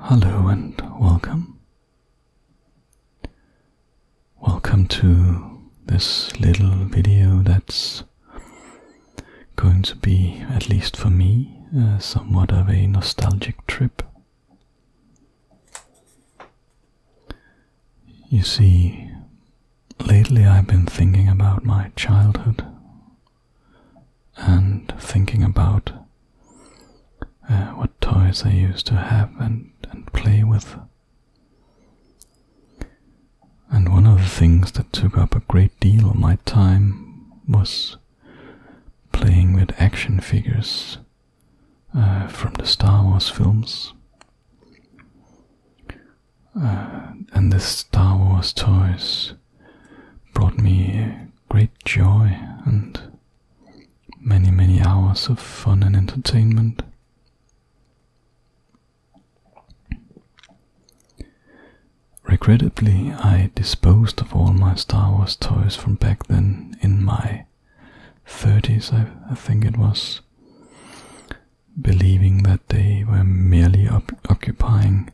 Hello and welcome. Welcome to this little video that's going to be, at least for me, uh, somewhat of a nostalgic trip. You see, lately I've been thinking about my childhood and thinking about uh, what toys I used to have and, and play with. And one of the things that took up a great deal of my time was playing with action figures uh, from the Star Wars films. Uh, and the Star Wars toys brought me great joy and many, many hours of fun and entertainment. Regrettably, I disposed of all my Star Wars toys from back then in my 30s, I, think it was, believing that they were merely occupying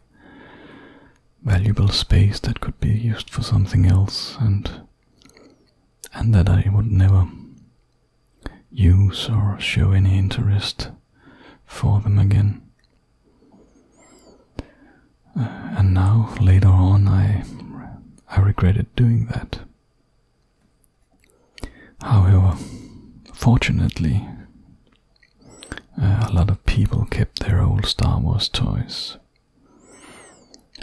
valuable space that could be used for something else and and that I would never use or show any interest for them again and now, later on, I, I regretted doing that. However, fortunately, uh, a lot of people kept their old Star Wars toys.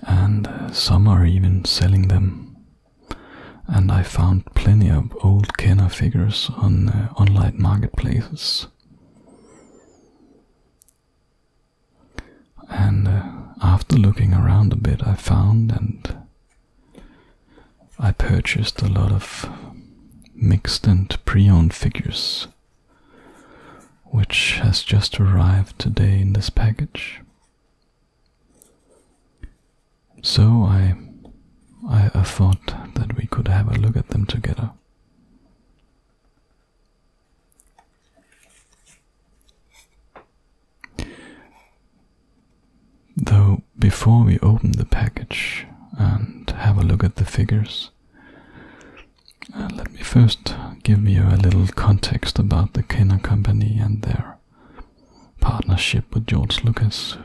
And uh, some are even selling them. And I found plenty of old Kenner figures on uh, online marketplaces. And uh, after looking around a bit, I found and I purchased a lot of mixed and pre-owned figures, which has just arrived today in this package. So I, I thought that we could have a look at them together. Though, before we open the package and have a look at the figures, uh, let me first give you a little context about the Kenner Company and their partnership with George Lucas.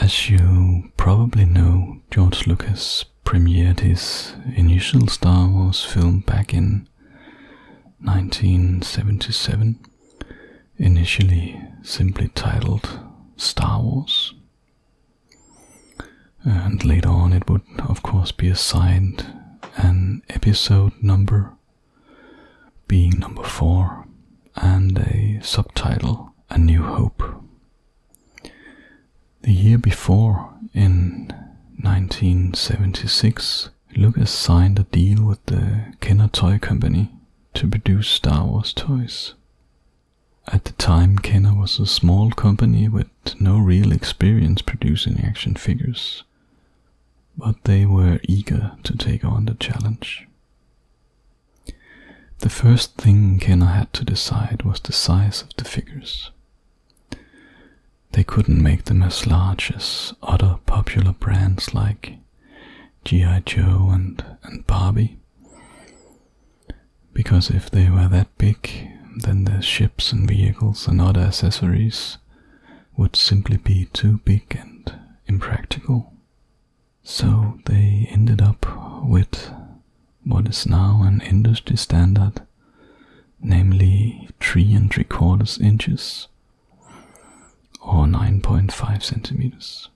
As you probably know, George Lucas premiered his initial Star Wars film back in 1977, initially simply titled Star Wars. And later on, it would of course be assigned an episode number, being number four, and a subtitle a New Hope. The year before, in 1976, Lucas signed a deal with the Kenner Toy Company to produce Star Wars toys. At the time, Kenner was a small company with no real experience producing action figures, but they were eager to take on the challenge. The first thing Kenna had to decide was the size of the figures. They couldn't make them as large as other popular brands like G.I. Joe and, and Barbie. Because if they were that big, then the ships and vehicles and other accessories would simply be too big and impractical. So they ended up with what is now an industry standard, namely 3 and 3 quarters inches or 9.5 centimeters.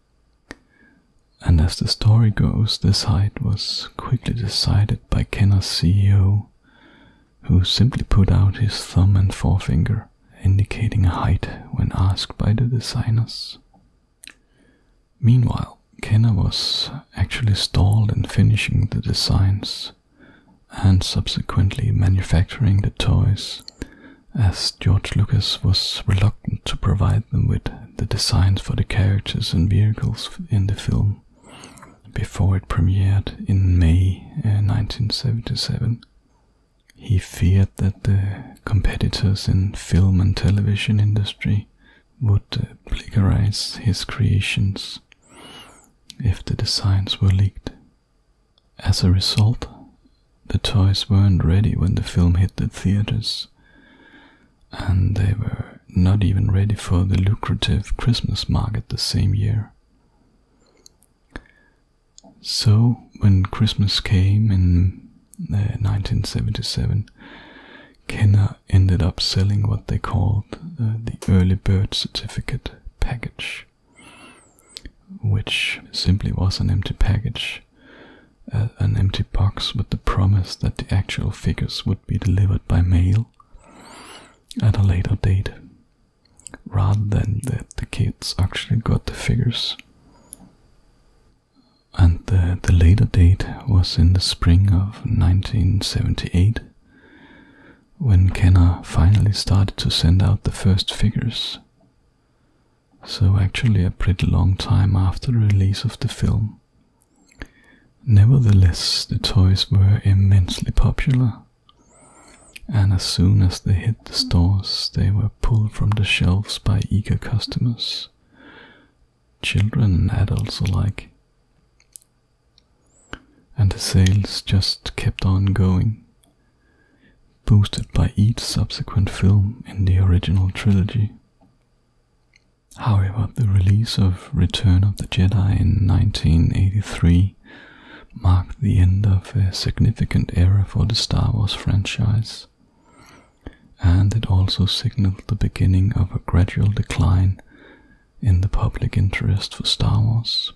And as the story goes, this height was quickly decided by Kenner's CEO, who simply put out his thumb and forefinger, indicating a height when asked by the designers. Meanwhile, Kenna was actually stalled in finishing the designs and subsequently manufacturing the toys, as George Lucas was reluctant to provide them with the designs for the characters and vehicles in the film before it premiered in May 1977. Uh, he feared that the competitors in film and television industry would plagiarize uh, his creations if the designs were leaked. As a result, the toys weren't ready when the film hit the theaters, and they were not even ready for the lucrative Christmas market the same year. So, when Christmas came in uh, 1977, Kenner ended up selling what they called uh, the early bird certificate package, which simply was an empty package, uh, an empty box with the promise that the actual figures would be delivered by mail at a later date, rather than that the kids actually got the figures and the, later date was in the spring of 1978 when Kenner finally started to send out the first figures. So, actually, a pretty long time after the release of the film. Nevertheless, the toys were immensely popular, and as soon as they hit the stores, they were pulled from the shelves by eager customers children and adults alike. And the sales just kept on going, boosted by each subsequent film in the original trilogy. However, the release of Return of the Jedi in 1983 marked the end of a significant era for the Star Wars franchise and it also signaled the beginning of a gradual decline in the public interest for Star Wars.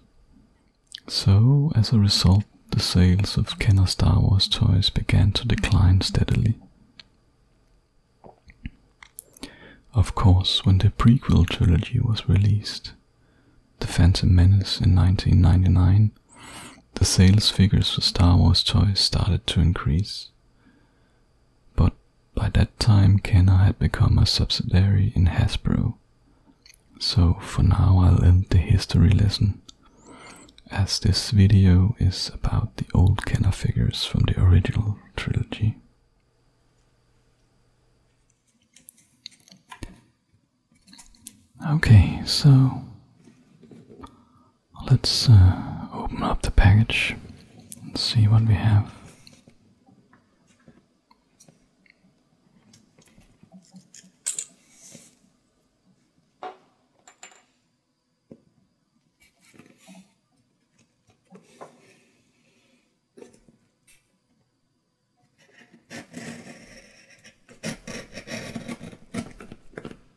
So, as a result, the sales of Kenner Star Wars toys began to decline steadily. Of course, when the prequel trilogy was released, The Phantom Menace in 1999, the sales figures for Star Wars toys started to increase, but by that time, Kenner had become a subsidiary in Hasbro. So for now, I'll end the history lesson, as this video is about the old Kenner figures from the original trilogy. Okay, so Let's uh, open up the package and see what we have.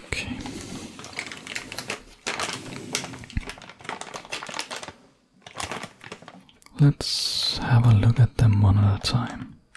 Okay. Let's have a look at them one at a time.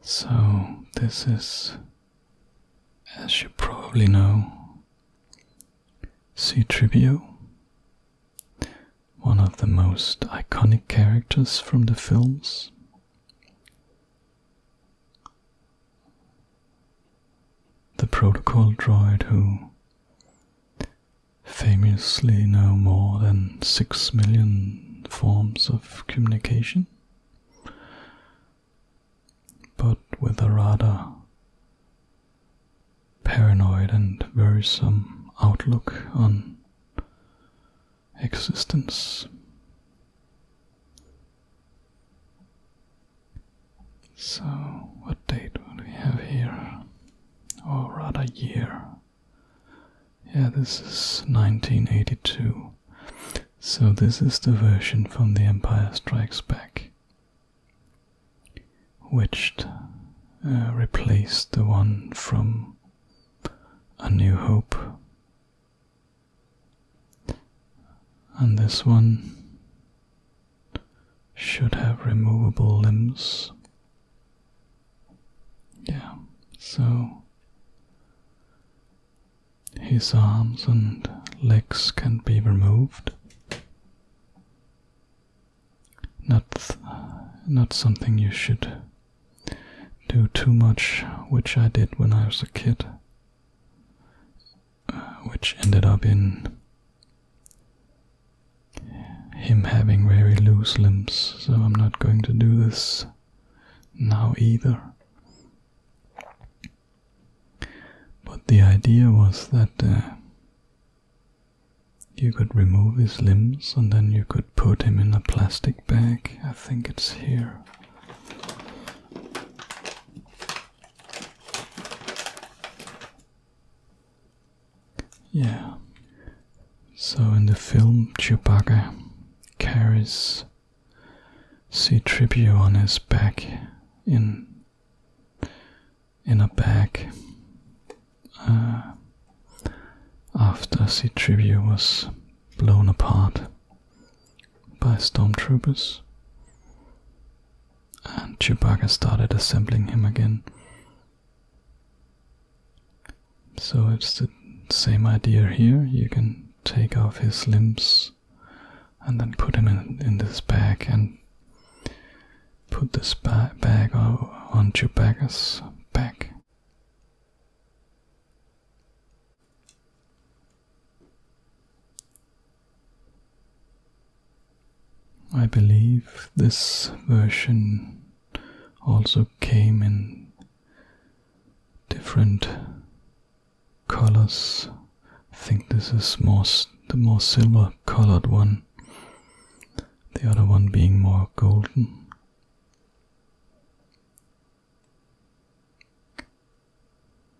so, this is, as you probably know, C. Tribute, one of the most iconic characters from the films. The protocol droid who famously know more than six million forms of communication, but with a rather paranoid and worrisome outlook on existence. So, what date would we have here? Or rather, year. Yeah, this is 1982. So this is the version from The Empire Strikes Back, which uh, replaced the one from A New Hope. And this one should have removable limbs. Yeah, so his arms and legs can be removed. Not, not something you should do too much, which I did when I was a kid, uh, which ended up in him having very loose limbs, so I'm not going to do this now either. But the idea was that uh, you could remove his limbs and then you could put him in a plastic bag. I think it's here. Yeah, so in the film, Chewbacca carries C-3PO on his back in in a bag uh, after C-3PO was blown apart by stormtroopers, and Chewbacca started assembling him again. So it's the same idea here. You can take off his limbs and then put him in, this bag and put this bag on Chewbacca's back. I believe this version also came in different colors. I think this is more the more silver colored one, the other one being more golden.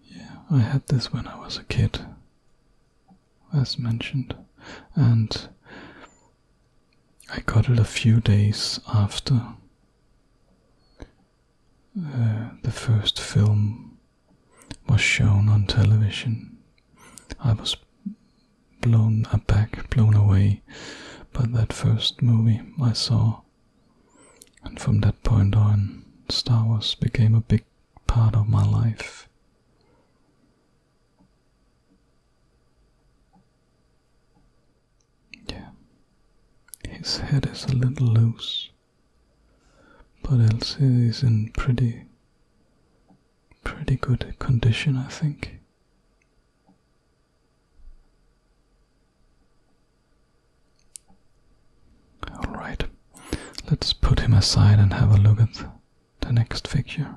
Yeah, I had this when I was a kid, as mentioned, and I got it a few days after uh, the first film was shown on television. I was blown back, blown away by that first movie I saw. And from that point on, Star Wars became a big part of my life. Yeah. His head is a little loose, but Elsie is in pretty, pretty good condition, I think. Alright, let's put him aside and have a look at the next figure.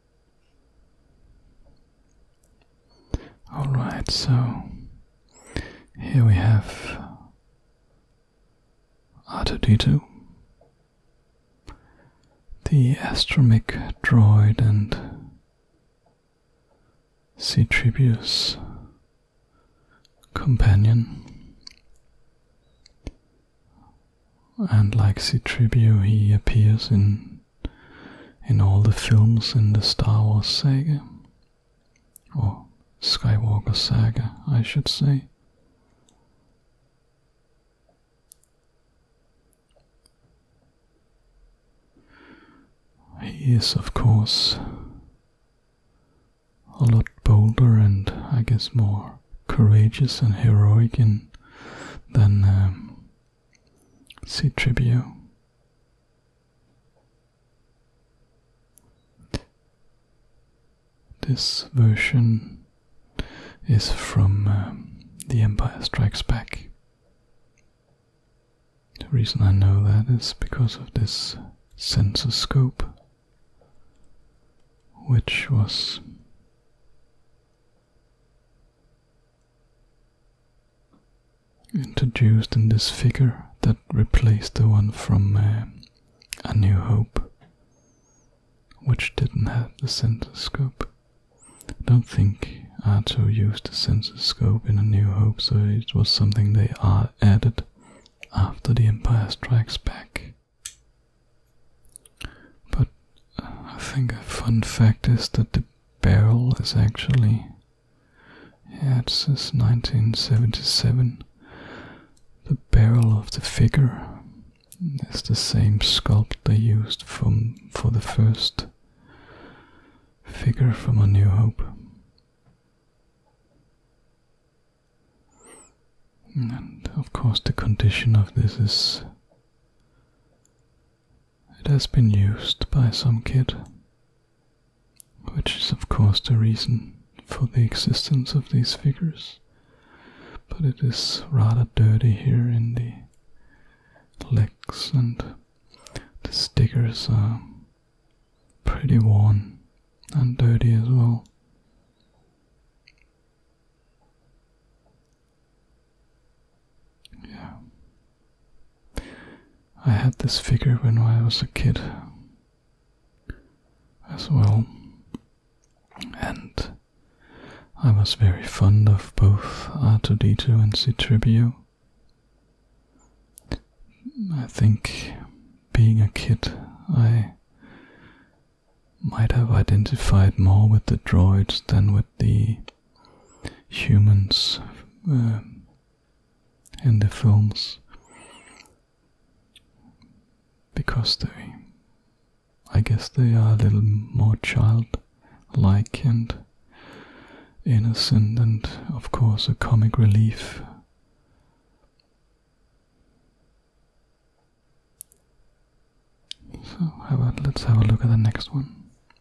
Alright, so here we have r the Astromic droid, and Citribius companion. And like Citribio, he appears in in all the films in the Star Wars saga. Or Skywalker saga, I should say. He is, of course, a lot bolder and I guess more courageous and heroic than um, C-Tribute. This version is from uh, The Empire Strikes Back. The reason I know that is because of this sensor scope, which was introduced in this figure that replaced the one from uh, A New Hope, which didn't have the sensor scope. don't think Arto used the sensor scope in A New Hope, so it was something they added after The Empire Strikes Back. But uh, I think a fun fact is that the barrel is actually yeah, it 1977. The barrel of the figure is the same sculpt they used from for the first figure from A New Hope. And of course, the condition of this is it has been used by some kid, which is, of course, the reason for the existence of these figures, but it is rather dirty here in the legs, and the stickers are pretty worn and dirty as well. Yeah, I had this figure when I was a kid as well, and I was very fond of both R2D2 and C-Tribio. I think being a kid, I might have identified more with the droids than with the humans in uh, the films because they I guess they are a little more child-like and innocent and of course a comic relief so let's have a look at the next one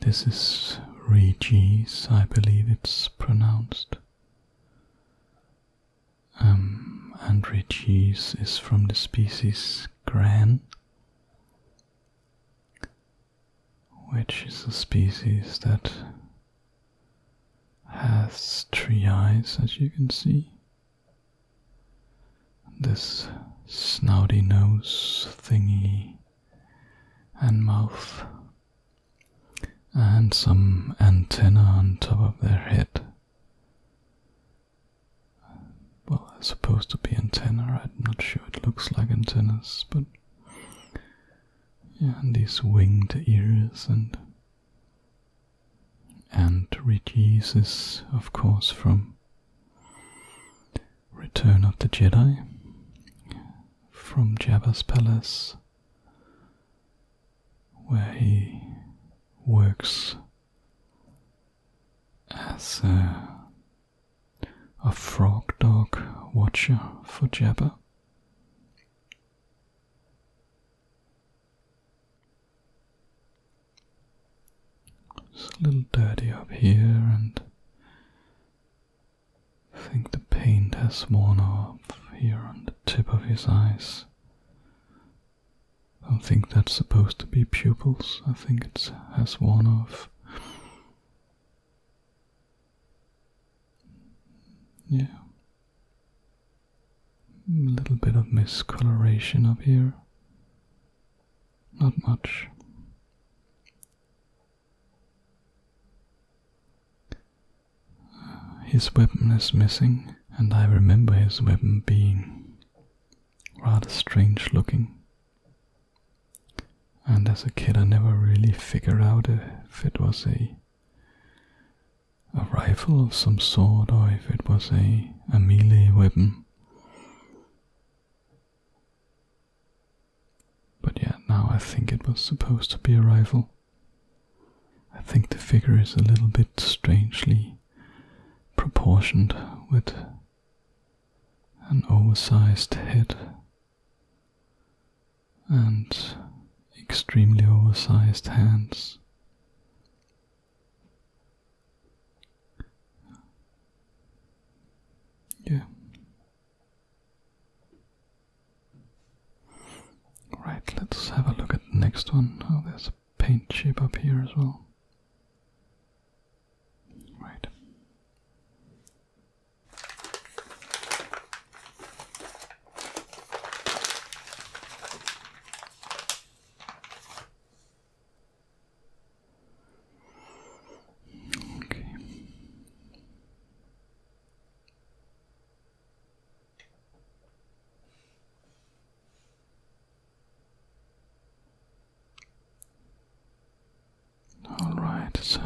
This is Regis, I believe it's pronounced. Um, and Regis is from the species Gran, which is a species that has three eyes, as you can see. This snouty nose thingy and mouth and some antenna on top of their head. Well, they supposed to be antenna. I'm not sure it looks like antennas, but yeah, and these winged ears and and reduces, of course from Return of the Jedi from Jabba's palace, where he works as a, frog dog watcher for Jabba. It's a little dirty up here and I think the paint has worn off here on the tip of his eyes. I don't think that's supposed to be pupils. I think it has worn off. Yeah. A little bit of miscoloration up here. Not much. His weapon is missing, and I remember his weapon being rather strange looking. And as a kid, I never really figured out if it was a a rifle of some sort or if it was a, a melee weapon. But yeah, now I think it was supposed to be a rival. I think the figure is a little bit strangely proportioned with an oversized head and extremely oversized hands. Yeah. Right, let's have a look at the next one. Oh, there's a paint chip up here as well. Right. Okay. All right, so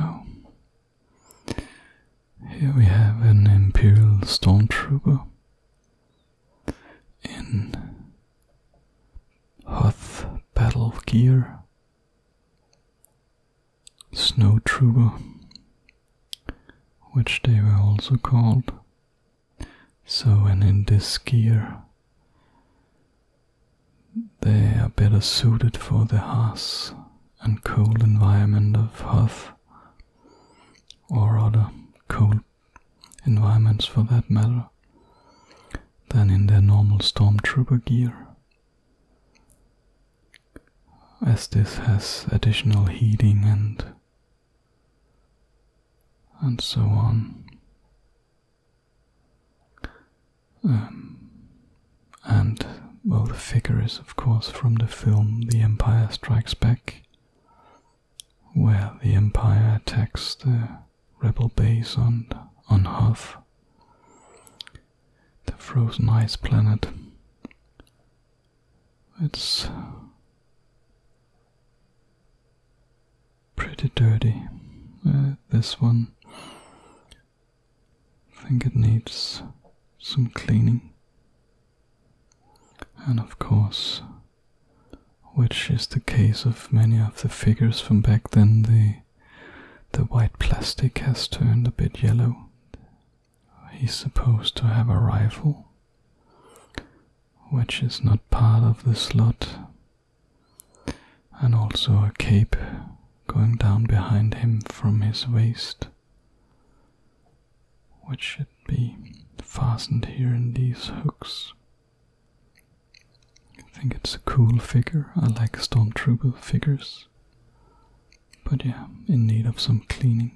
here we have an Imperial Stormtrooper in Hoth battle gear snow trooper, which they were also called. So, and in this gear, they are better suited for the harsh and cold environment of Hoth, or other cold environments for that matter, than in their normal stormtrooper gear as this has additional heating and and so on. Um, and well, the figure is, of course, from the film The Empire Strikes Back, where the Empire attacks the rebel base on on Hoth, the frozen ice planet. It's pretty dirty. Uh, this one, I think it needs some cleaning. And of course, which is the case of many of the figures from back then, the the white plastic has turned a bit yellow he's supposed to have a rifle, which is not part of the slot, and also a cape going down behind him from his waist, which should be fastened here in these hooks. I think it's a cool figure. I like trooper figures. But yeah, in need of some cleaning.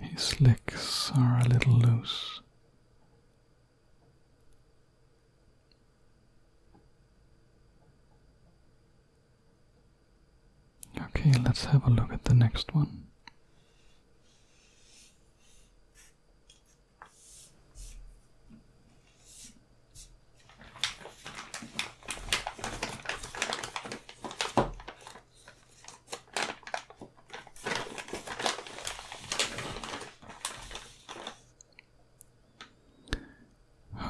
His legs are a little loose. Okay, let's have a look at the next one.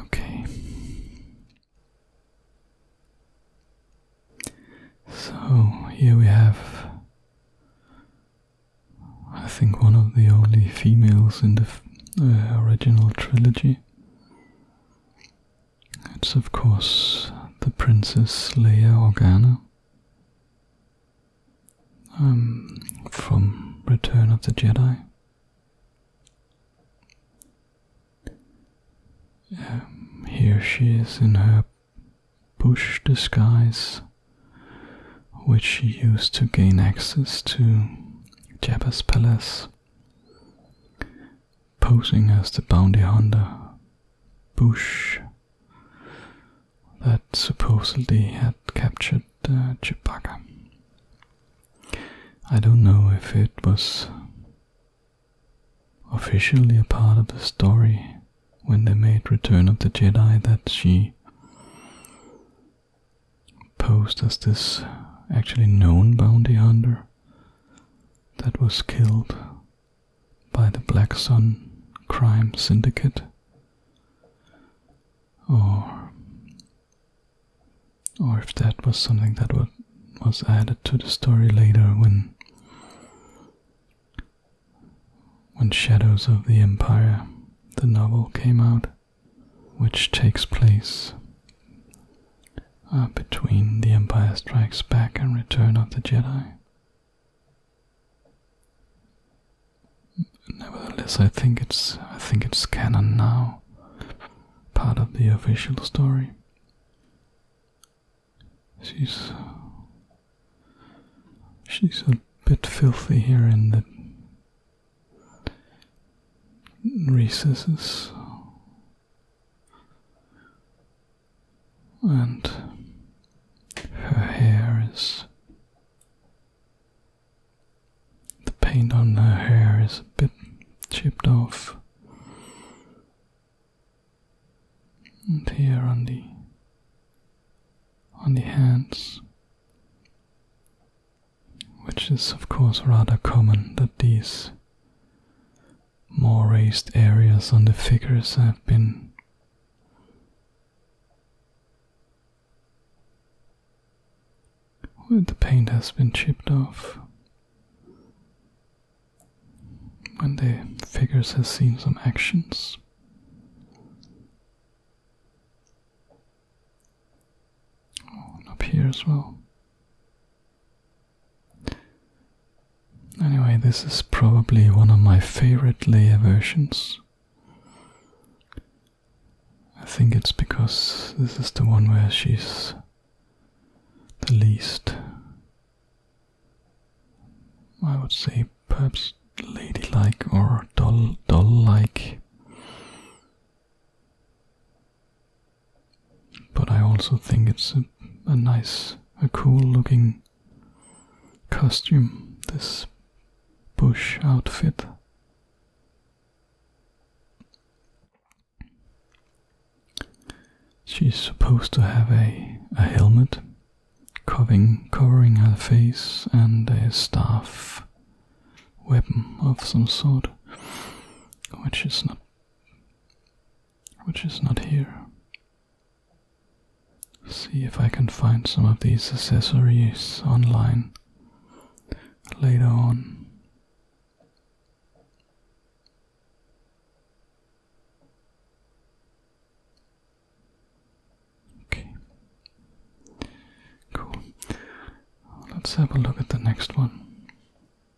Okay. So here we have, I think, one of the only females in the uh, original trilogy. It's of course the Princess Leia Organa um, from Return of the Jedi. Um, here she is in her bush disguise, which she used to gain access to Jabba's palace posing as the bounty hunter Bush that supposedly had captured uh, Chewbacca. I don't know if it was officially a part of the story when they made Return of the Jedi that she posed as this actually known bounty hunter that was killed by the Black Sun crime syndicate or or if that was something that was, added to the story later when when Shadows of the Empire the novel came out which takes place uh, between The Empire Strikes Back and Return of the Jedi. Nevertheless, I think it's I think it's canon now, part of the official story. She's she's a bit filthy here in the recesses and her hair is the paint on her hair is a bit chipped off and here on the on the hands which is of course rather common that these more raised areas on the figures have been where the paint has been chipped off when the figures have seen some actions up here as well. Anyway, this is probably one of my favorite layer versions. I think it's because this is the one where she's the least, I would say, perhaps ladylike or doll doll like. But I also think it's a, nice, a cool looking costume, this bush outfit. She's supposed to have a, a helmet covering, covering her face and a staff weapon of some sort, which is not which is not here. See if I can find some of these accessories online later on. Okay. Cool. Let's have a look at the next one.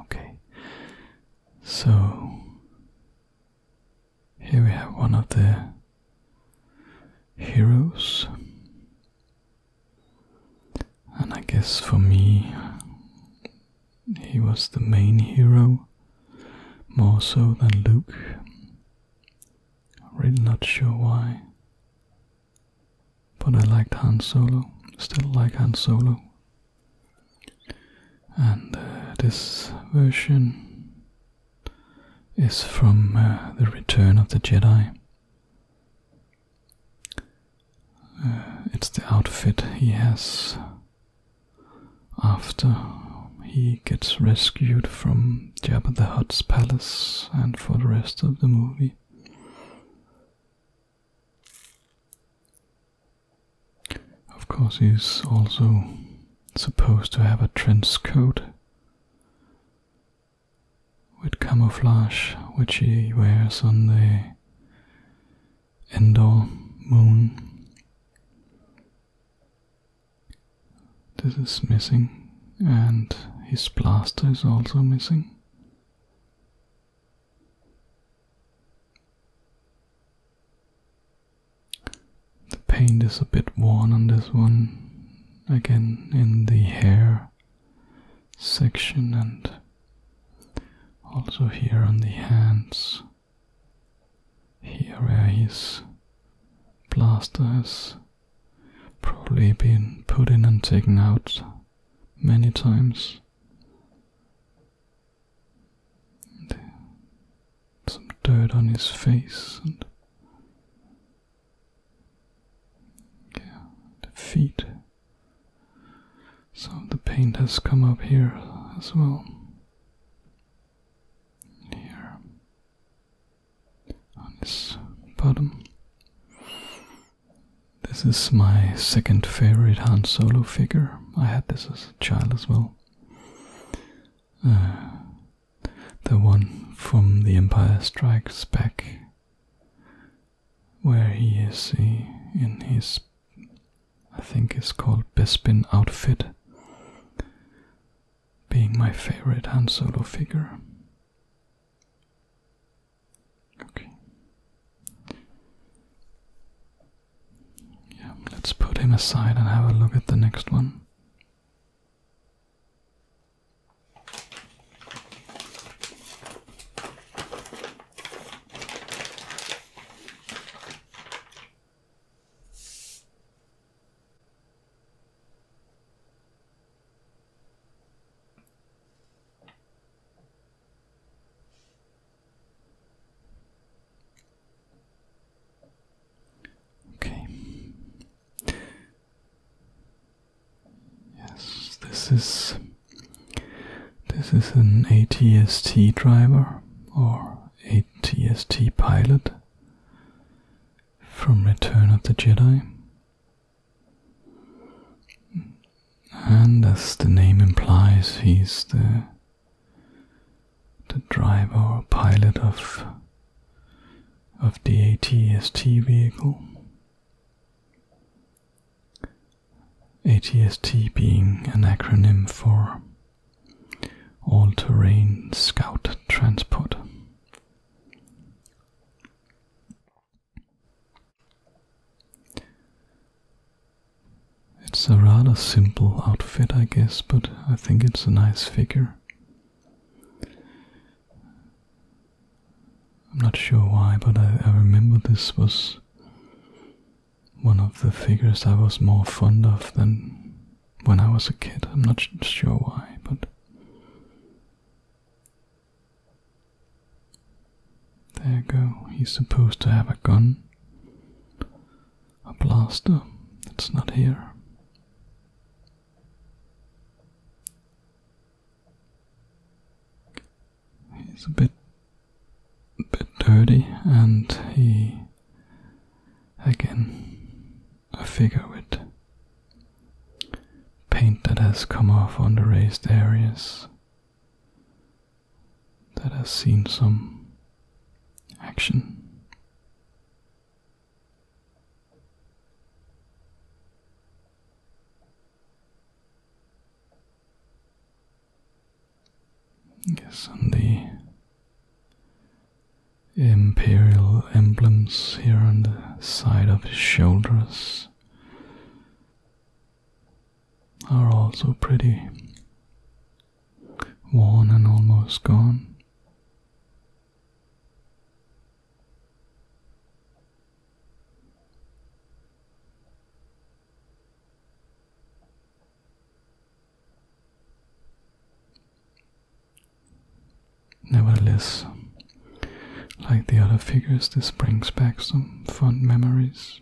Okay, so here we have one of the heroes, and I guess for me, he was the main hero more so than Luke. Really not sure why. But I liked Han Solo. Still like Han Solo and uh, this version is from uh, the Return of the Jedi. Uh, it's the outfit he has after he gets rescued from Jabba the Hutt's palace and for the rest of the movie. Of course, he's also supposed to have a trench coat with camouflage, which he wears on the Endor moon. This is missing, and his blaster is also missing. The paint is a bit worn on this one, again in the hair section and also here on the hands, here where his plaster has probably been put in and taken out many times some dirt on his face and yeah, the feet. So the paint has come up here as well. Here on his bottom. This is my second favorite Han Solo figure. I had this as a child as well. Uh, the one from The Empire Strikes Back, where he is in his, I think is called Bespin outfit, being my favorite Han Solo figure. Okay. Yeah, let's put him aside and have a look at the next one. Okay. Yes, this is this is an ATST driver or ATST pilot from Return of the Jedi. And as the name implies, he's the the driver or pilot of of the ATST vehicle. ATST being an acronym for All Terrain Scout Transport. It's a rather simple outfit, I guess, but I think it's a nice figure. I'm not sure why, but I, remember this was one of the figures I was more fond of than when I was a kid. I'm not sure why, but there you go. He's supposed to have a gun. A blaster. It's not here. He's a bit a bit dirty and he again a figure with paint that has come off on the raised areas that has seen some action. Yes, on the imperial emblems here on the side of his shoulders are all so pretty worn and almost gone. Nevertheless, like the other figures, this brings back some fond memories.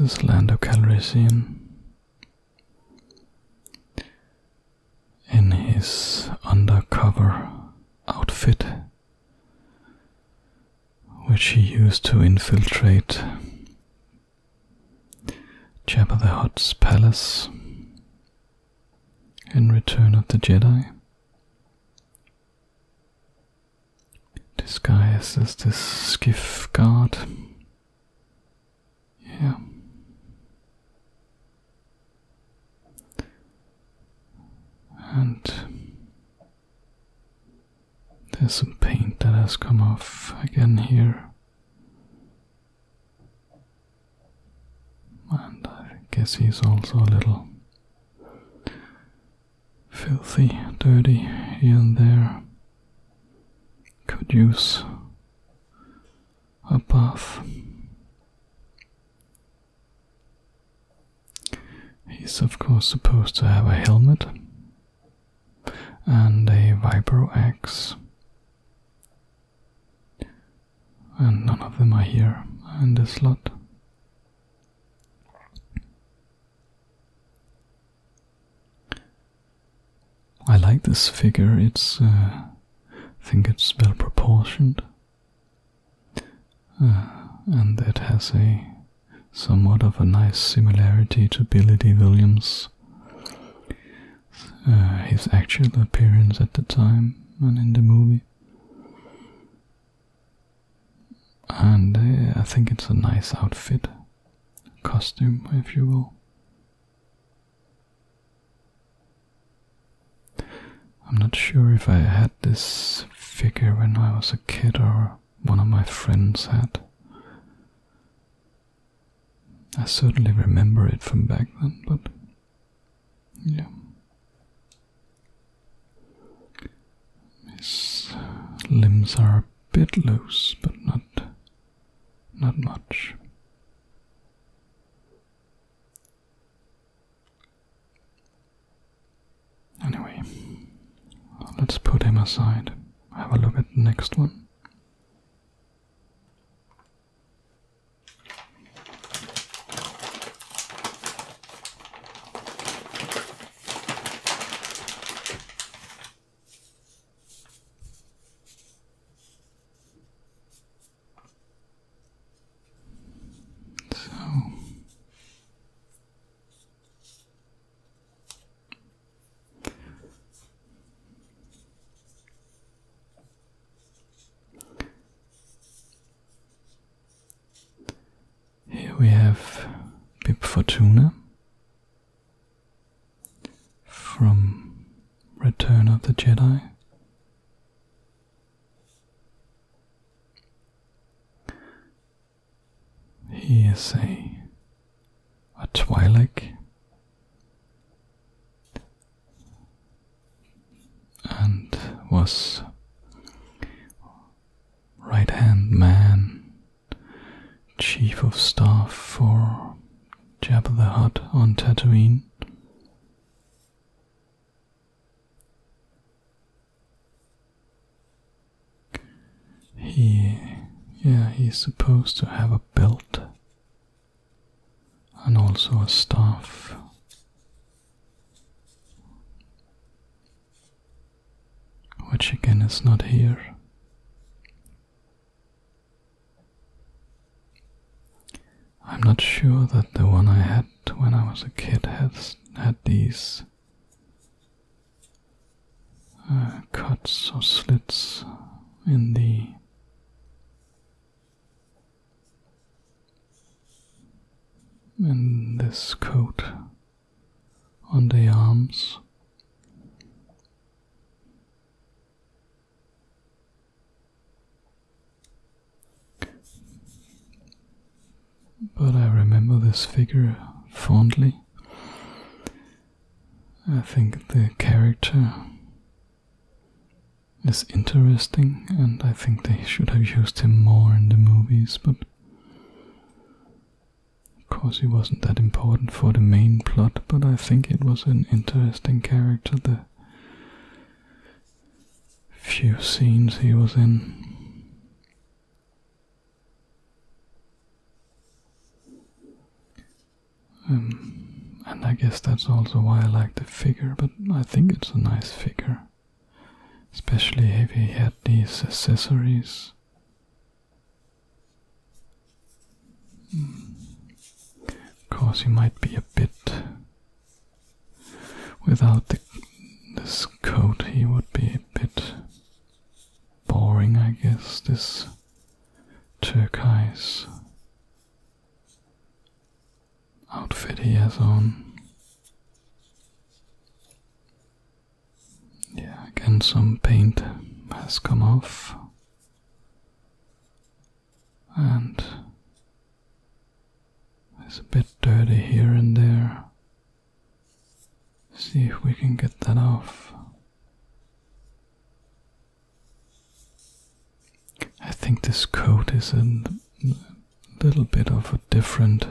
This is Lando Calrissian. In his undercover outfit, which he used to infiltrate Jabba the Hutt's palace in Return of the Jedi. Disguised as the skiff guard. Yeah. And there's some paint that has come off again here. And I guess he's also a little filthy, dirty here and there. Could use a bath. He's of course supposed to have a helmet and a vibro axe. And none of them are here in this slot. I like this figure, it's uh, I think it's well proportioned. and that has a somewhat of a nice similarity to Billy D. Williams. Uh, his actual appearance at the time and in the movie. And uh, I think it's a nice outfit, costume, if you will. I'm not sure if I had this figure when I was a kid or one of my friends had. I certainly remember it from back then, but yeah. His limbs are a bit loose, but not not much. Anyway, let's put him aside. Have a look at the next one. So here we have Pip Fortuna from Return of the Jedi. He is a a Twi'lek and was right hand man, chief of staff for Jabba the Hutt on Tatooine. He, yeah, he supposed to have a belt and also a staff. Which again is not here. I'm not sure that the one I had when I was a kid has had these uh, cuts or slits in the in this coat on the arms. But I remember this figure fondly. I think the character is interesting, and I think they should have used him more in the movies, but of course he wasn't that important for the main plot, but I think it was an interesting character, the few scenes he was in. Um, and I guess that's also why I like the figure, but I think it's a nice figure. Especially if you had these accessories. Hmm. Of course, he might be a bit Without this coat he would be a bit boring, I guess, this turquoise outfit he has on. Yeah, again some paint has come off. And it's a bit dirty here and there. See if we can get that off. I think this coat is a little bit of a different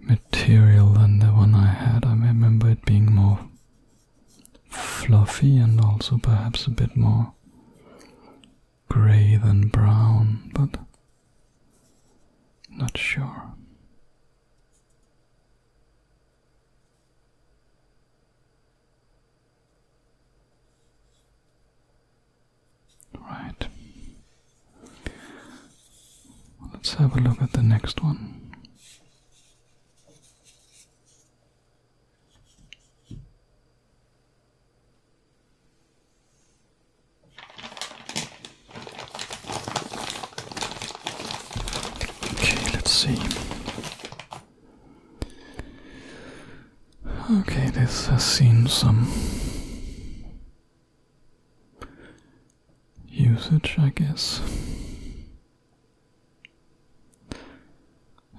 material than the one I had. I remember it being more fluffy and also perhaps a bit more gray than brown, but not sure. Right. Let's have a look at the next one. Okay, let's see. Okay, this has seen some usage, I guess.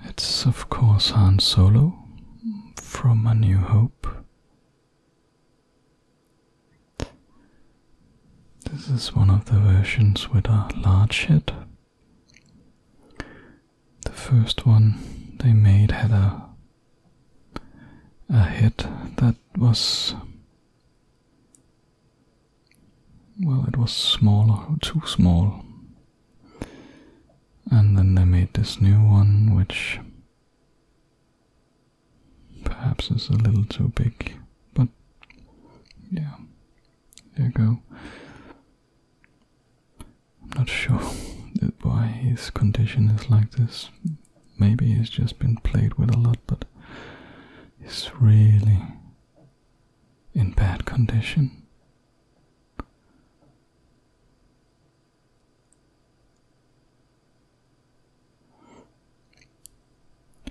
It's, of course, Han Solo from A New Hope. This is one of the versions with a large head. The first one they made had a a head that was well it was smaller too small and then they made this new one which perhaps it's a little too big, but yeah, there you go. I'm not sure why his condition is like this. Maybe he's just been played with a lot, but he's really in bad condition.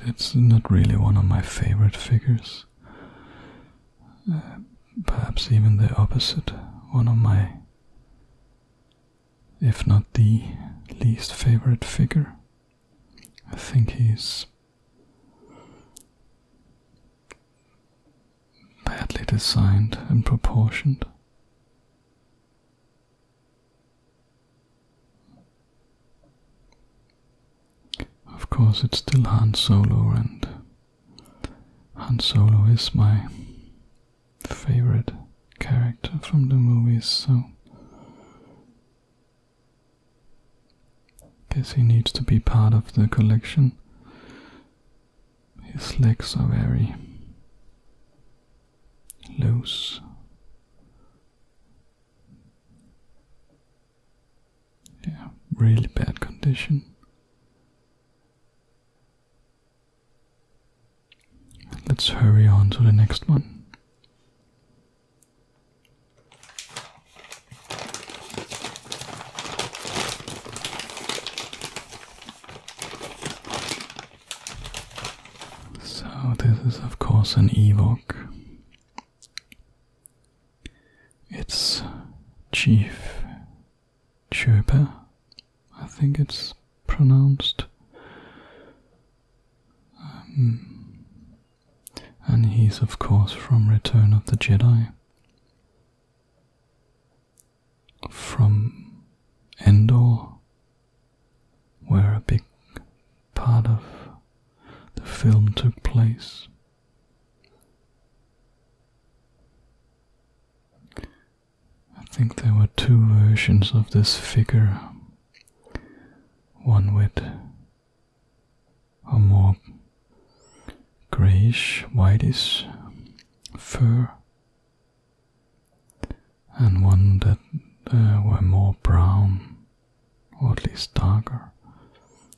It's not really one of my favorite figures. Uh, perhaps even the opposite, one of my, if not the least favorite figure. I think he's badly designed and proportioned. Of course, it's still Han Solo, and Han Solo is my favorite character from the movies, so guess he needs to be part of the collection. His legs are very loose yeah really bad condition let's hurry on to the next one so this is of course an Ewok. It's Chief Chirpa, I think it's pronounced. Um, and he's of course from Return of the Jedi. From Endor, where a big part of the film took place. I think there were two versions of this figure one with a more grayish, whitish fur and one that uh, were more brown, or at least darker.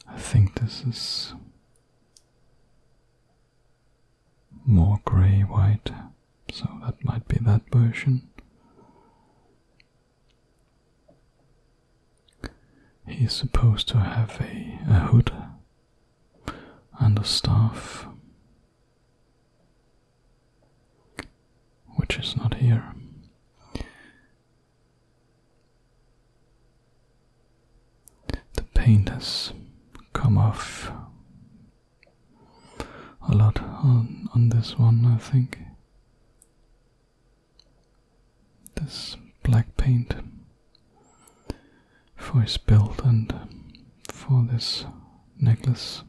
I think this is more grey white, so that might be that version. He's supposed to have a, a hood and a staff which is not here. The paint has come off a lot on, this one, I think. This black paint for his belt and for this necklace.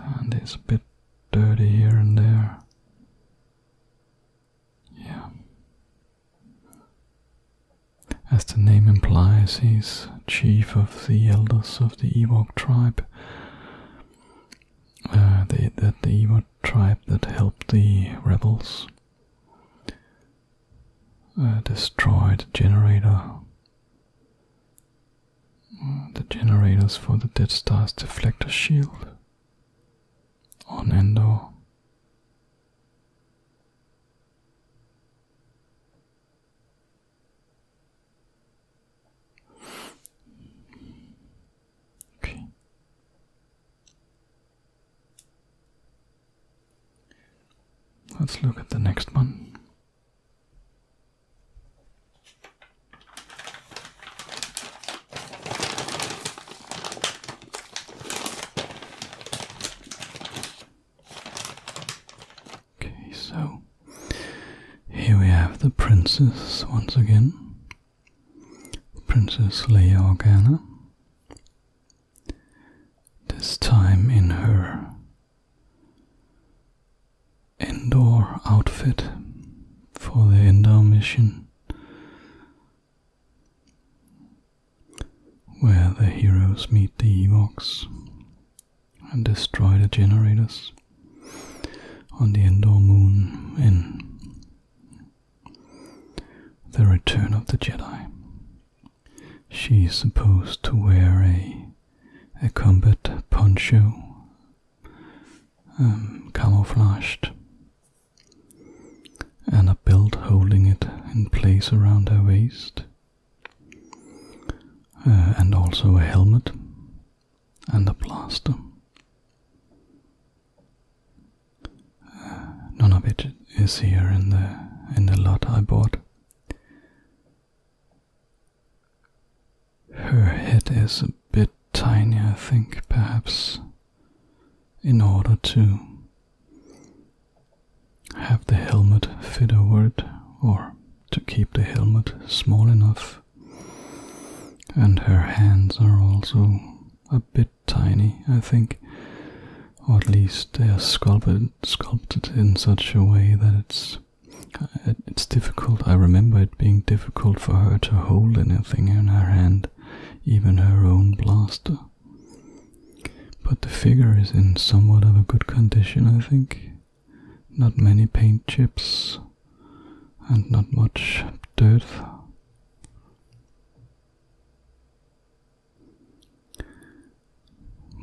And it's a bit dirty here and there. Yeah. As the name implies, he's chief of the elders of the Ewok tribe. Uh, the Ewok tribe that helped the rebels. Uh, Destroyed generator. Uh, the generators for the Dead Star's deflector shield on Endor. Okay. Let's look at the next one. Okay, so here we have the princess once again. Princess Leia Organa this time in her indoor outfit for the indoor mission where the heroes meet the Ewoks and destroy the generators on the indoor moon in The Return of the Jedi. She's supposed to wear a, a combat poncho, um, camouflaged, and a belt holding it in place around her waist, uh, and also a helmet and a plaster. Uh, none of it is here in the in the lot I bought. Her head is a bit tiny, I think, perhaps, in order to have the helmet fit over it or to keep the helmet small enough. And her hands are also a bit tiny, I think or at least they are sculpted sculpted in such a way that it's uh, it's difficult. I remember it being difficult for her to hold anything in her hand, even her own blaster. But the figure is in somewhat of a good condition, I think. Not many paint chips and not much dirt.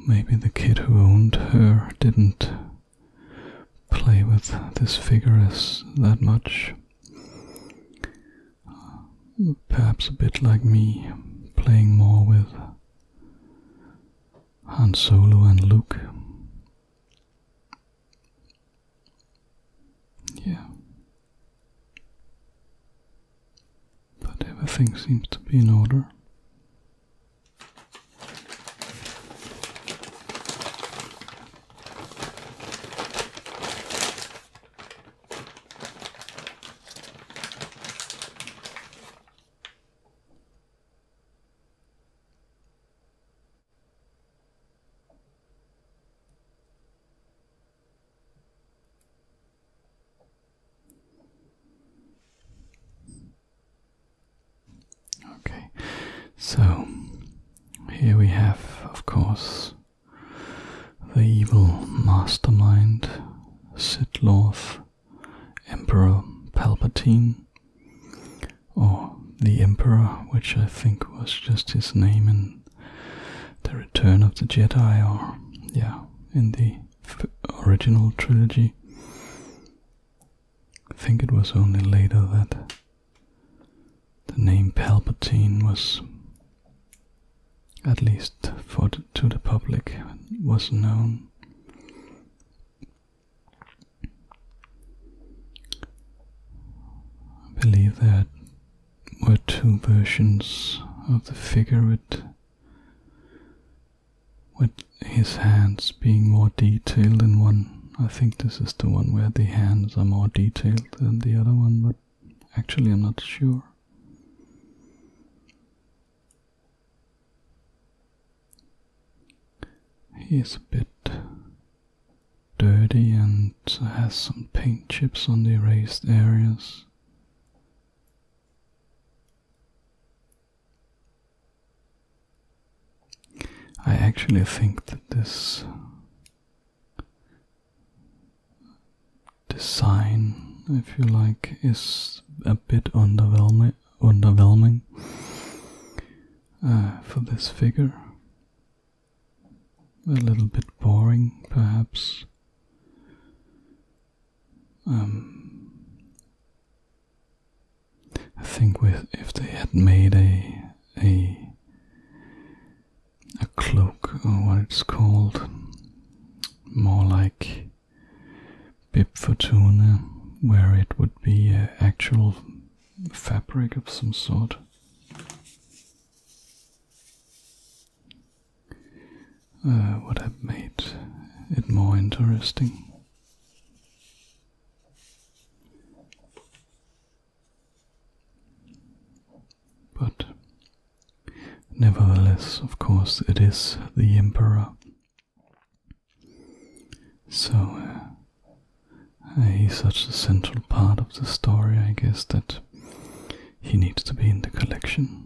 Maybe the kid who owned her didn't play with this figure as that much. Perhaps a bit like me, playing more with Han Solo and Luke. Yeah. But everything seems to be in order. Okay, so here we have, of course, the evil mastermind, Sid Emperor Palpatine, or the Emperor, which I think was just his name in The Return of the Jedi, or yeah, in the original trilogy. I think it was only later that the name Palpatine was, at least for to the public, was known. I believe there were two versions of the figure with with his hands being more detailed in one. I think this is the one where the hands are more detailed than the other one, but actually I'm not sure. He is a bit dirty and has some paint chips on the erased areas. I actually think that this design, if you like, is a bit underwhelming, underwhelming for this figure. A little bit boring, perhaps. Um, I think if they had made a a a cloak or what it's called, more like Bib where it would be actual fabric of some sort uh, would have made it more interesting. But nevertheless, of course, it is the Emperor. So he's uh, such a central part of the story, I guess, that he needs to be in the collection.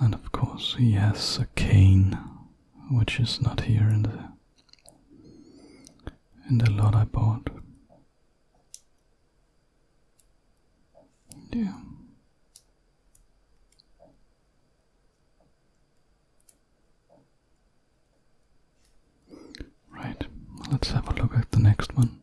And of course, he has a cane, which is not here in the in the lot I bought. Yeah. Right, let's have a look at the next one.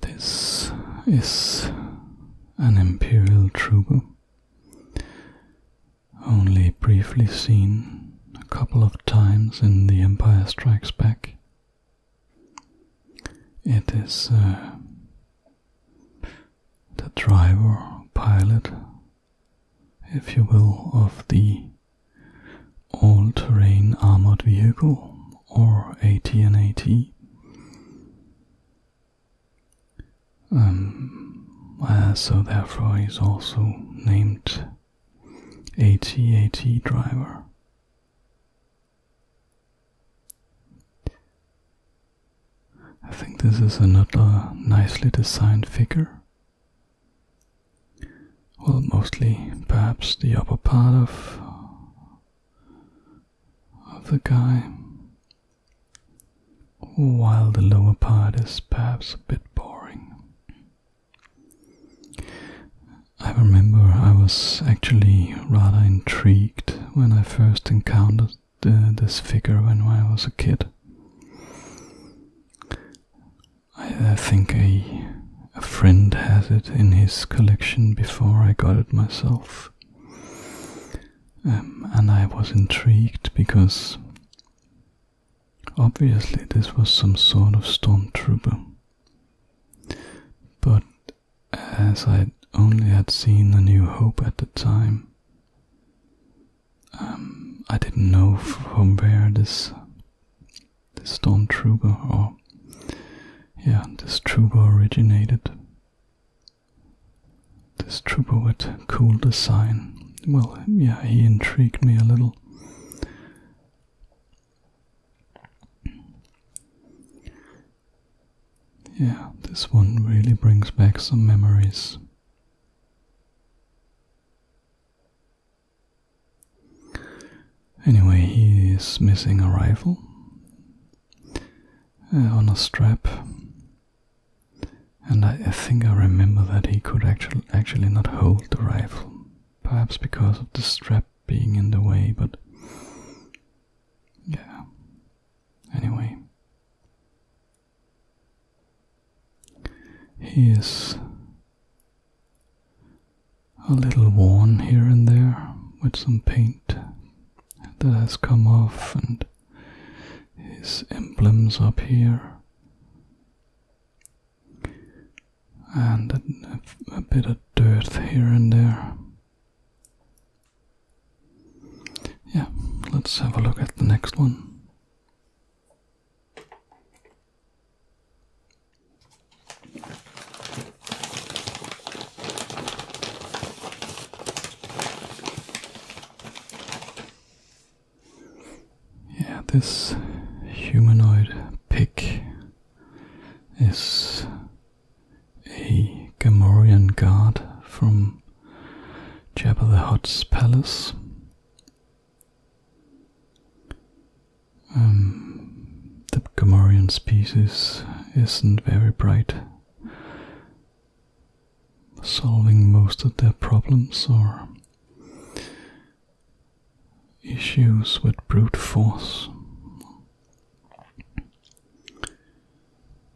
This is an imperial troubadour, only briefly seen a couple of times in The Empire Strikes Back. It is uh, the driver, pilot, if you will, of the all-terrain armored vehicle or at at um, uh, so therefore is also named AT-AT driver. I think this is another nicely designed figure. Well, mostly perhaps the upper part of of the guy, while the lower part is perhaps a bit boring. I remember I was actually rather intrigued when I first encountered this figure when I was a kid. I, I think a a friend has it in his collection before I got it myself. Um, and I was intrigued because obviously this was some sort of stormtrooper. But as I only had seen the New Hope at the time, um, I didn't know from where this this stormtrooper or yeah, this trooper originated. This trooper with cool design. Well, yeah, he intrigued me a little. Yeah, this one really brings back some memories. Anyway, he is missing a rifle uh, on a strap. And I, I think I remember that he could actually, actually not hold the rifle. Perhaps because of the strap being in the way, but yeah. Anyway, he is a little worn here and there with some paint that has come off and his emblems up here and a, bit of dirt here and there. Yeah, let's have a look at the next one. Yeah, this humanoid pig is a Gamorian guard from Jabba the Hutt's palace. Um, the Gamorrean species isn't very bright, solving most of their problems or issues with brute force.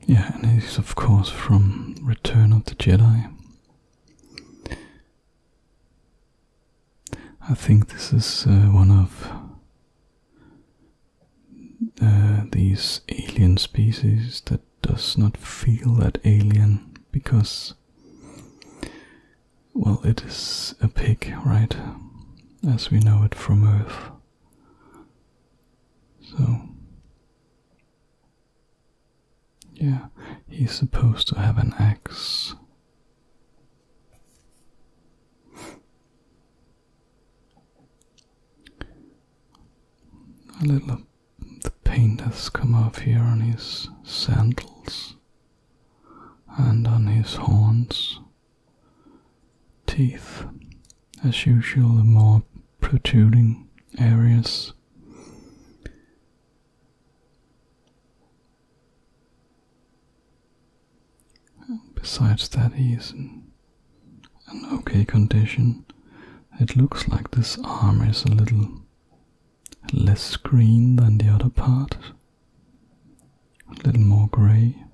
Yeah, and he's of course from Return of the Jedi. I think this is uh, one of these alien species that does not feel that alien because, well, it is a pig, right? As we know it from Earth. So, yeah, he's supposed to have an axe. A little the paint has come off here on his sandals and on his horns. Teeth, as usual, the more protruding areas. Besides that he's in an okay condition. It looks like this arm is a little less green than the other part. A little more grey.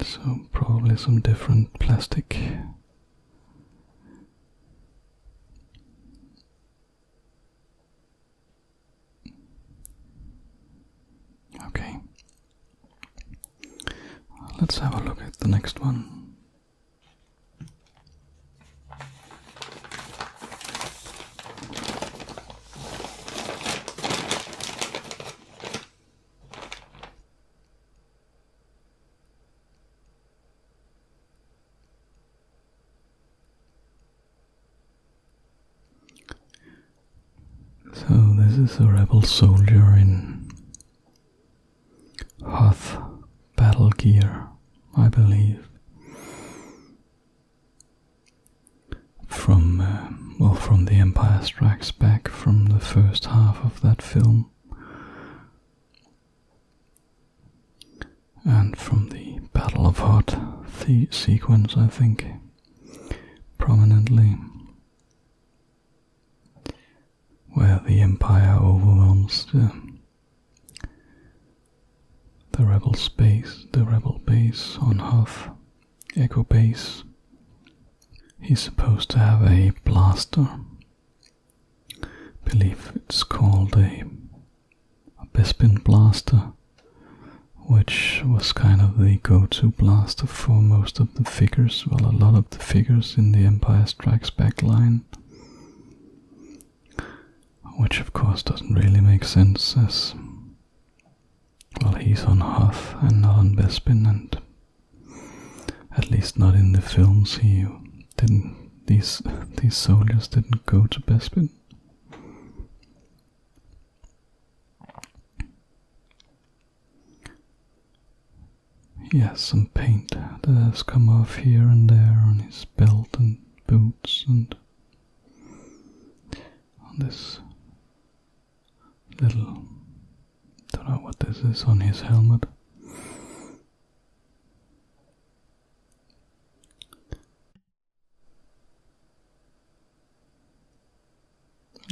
So probably some different plastic. Okay. Let's have a look at the next one. So this is a rebel soldier in Hoth battle gear, I believe. From uh, well, from The Empire Strikes Back, from the first half of that film and from the Battle of Hoth, the sequence, I think, prominently, where the Empire overwhelms the, the rebel space, the rebel base on Hoth, Echo Base. He's supposed to have a blaster. I believe it's called a a Bespin blaster, which was kind of the go-to blaster for most of the figures, well a lot of the figures in the Empire Strikes Back line. Which of course doesn't really make sense as well he's on Hoth and not on Bespin and at least not in the films he didn't these these soldiers didn't go to Bespin. He has some paint that has come off here and there on his belt and boots and on this little don't know what this is on his helmet.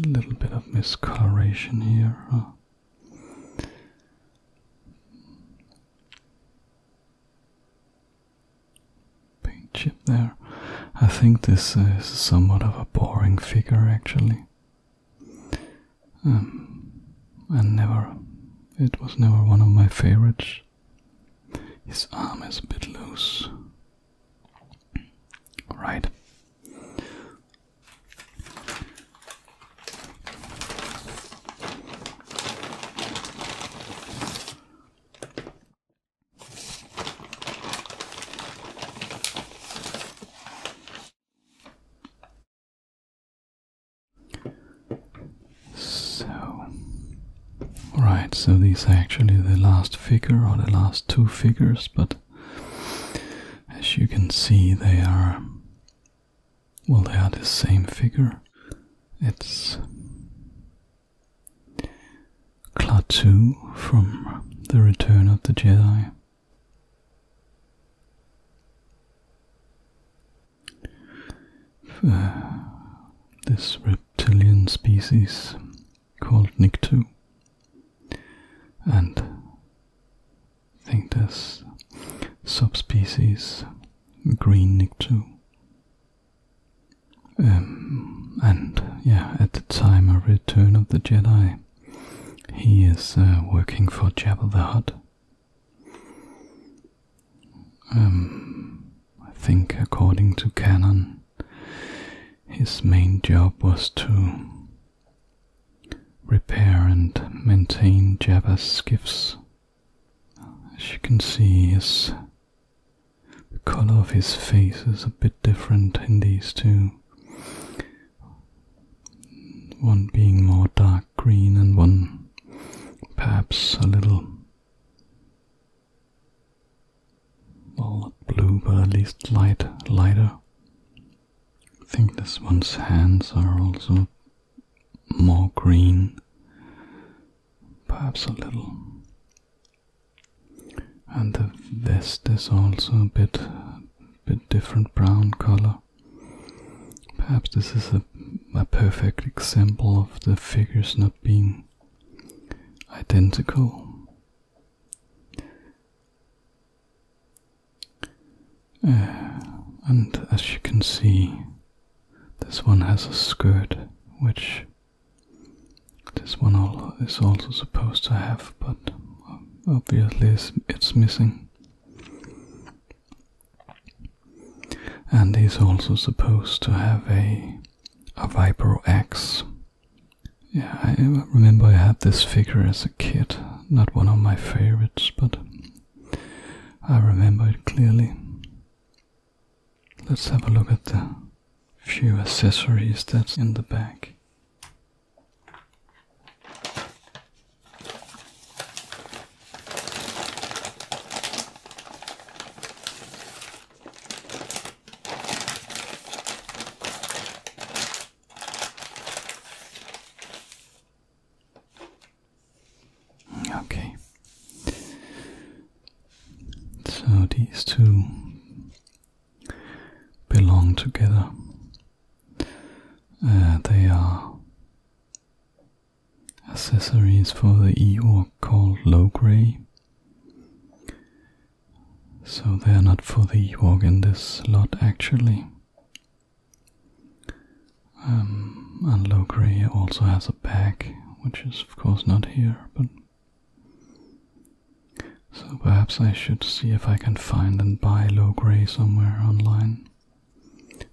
A little bit of miscoloration here. Paint chip there. I think this is somewhat of a boring figure actually. Um, never, it was never one of my favorites. His arm is a bit loose. Alright. So, right, so these are actually the last figure or the last two figures, but as you can see, they are, well, they are the same figure. It's Klaatu from The Return of the Jedi. this reptilian species called Nictu. And I think there's subspecies green Nictu. Um, and yeah, at the time of Return of the Jedi, he is uh, working for Jabba the Hutt. Um, I think, according to canon, his main job was to repair and maintain Jabba's skiffs. As you can see, his, the color of his face is a bit different in these two. One being more dark green and one perhaps a little not blue but at least light lighter. I think this one's hands are also more green, perhaps a little. And the vest is also a bit, bit different brown color. Perhaps this is a perfect example of the figures not being identical. Uh, and as you can see, this one has a skirt, which this one is also supposed to have, but um, obviously it's, missing. And he's also supposed to have a a Vipro X. Yeah, I remember I had this figure as a kid. Not one of my favorites, but I remember it clearly. Let's have a look at the few accessories that's in the bag. Okay. So these two belong together. Uh, they are accessories for the Ewok called Low Grey. So they are not for the Ewok in this lot actually. Um, and Logray also has a pack, which is of course not here, but... So perhaps I should see if I can find and buy Logray somewhere online.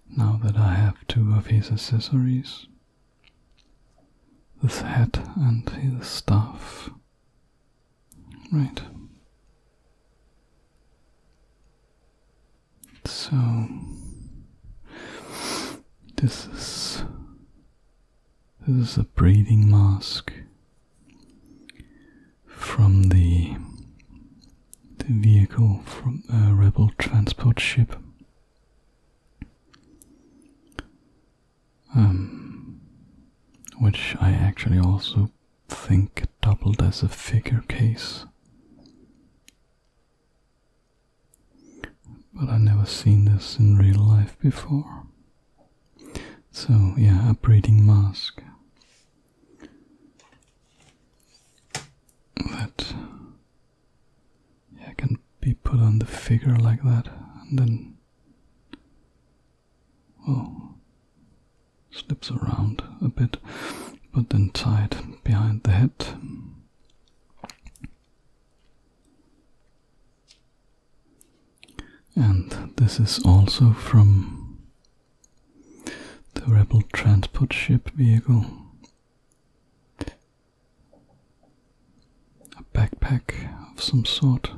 Now that I have two of his accessories this hat and his staff. Right. So this is this is a breathing mask from the the vehicle from a rebel transport ship. Um, which I actually also think doubled as a figure case. But I've never seen this in real life before. So, yeah, a breathing mask. That yeah, can be put on the figure like that, and then, well, slips around a bit, but then tied behind the head. And this is also from the Rebel transport ship vehicle. A backpack of some sort.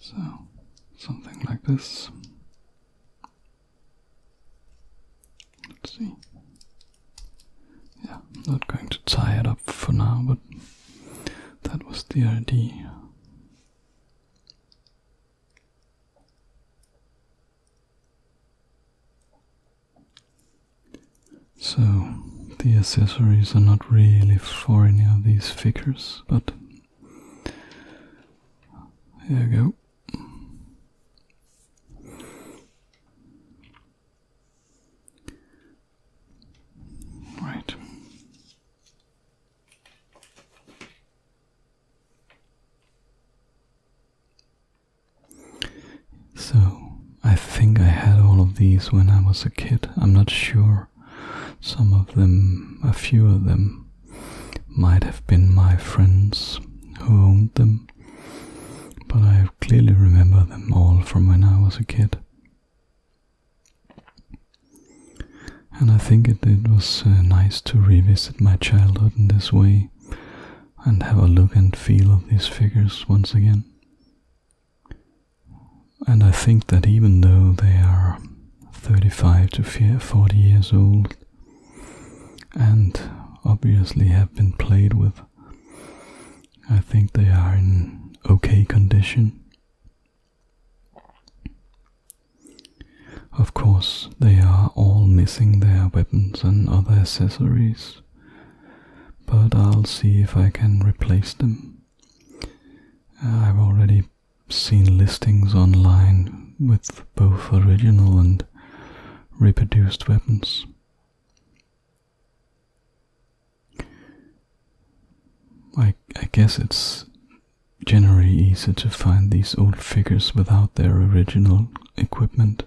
So, something like this. Let's see. Yeah, I'm not going to tie it up for now, but that was the idea. So, the accessories are not really for any of these figures, but here we go. Right. So, I think I had all of these when I was a kid. I'm not sure. Some of them, a few of them, might have been my friends who owned them, but I clearly remember them all from when I was a kid. And I think it, was uh, nice to revisit my childhood in this way and have a look and feel of these figures once again. And I think that even though they are 35 to 40 years old and obviously have been played with, I think they are in okay condition. Of course, they are all missing their weapons and other accessories, but I'll see if I can replace them. I've already seen listings online with both original and reproduced weapons. I, I guess it's generally easier to find these old figures without their original equipment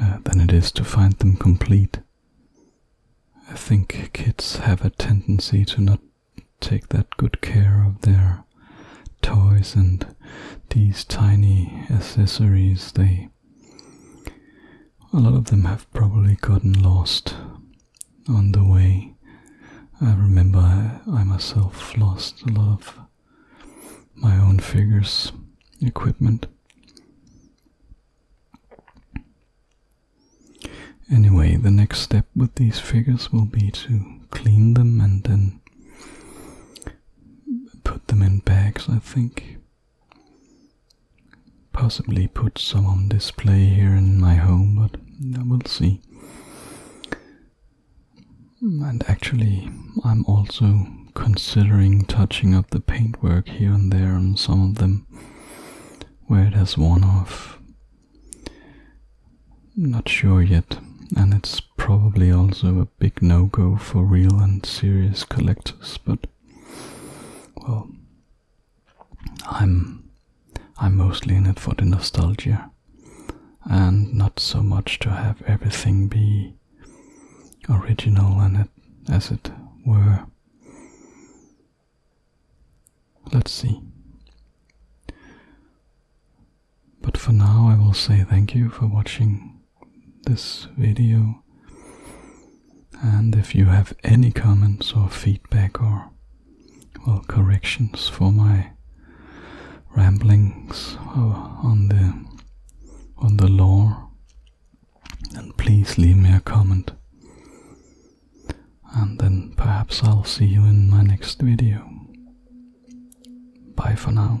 uh, than it is to find them complete. I think kids have a tendency to not take that good care of their toys and these tiny accessories they a lot of them have probably gotten lost on the way. I remember I, myself lost a lot my own figures, equipment. Anyway, the next step with these figures will be to clean them and then put them in bags, I think. Possibly put some on display here in my home, but we will see. Hmm, and actually, I'm also considering touching up the paintwork here and there on some of them where it has worn off. Not sure yet, and it's probably also a big no go for real and serious collectors, but well, I'm I'm mostly in it for the nostalgia and not so much to have everything be original and it, as it were. Let's see. But for now I will say thank you for watching this video and if you have any comments or feedback or well corrections for my ramblings on the on the lore, and please leave me a comment. And then perhaps I'll see you in my next video. Bye for now.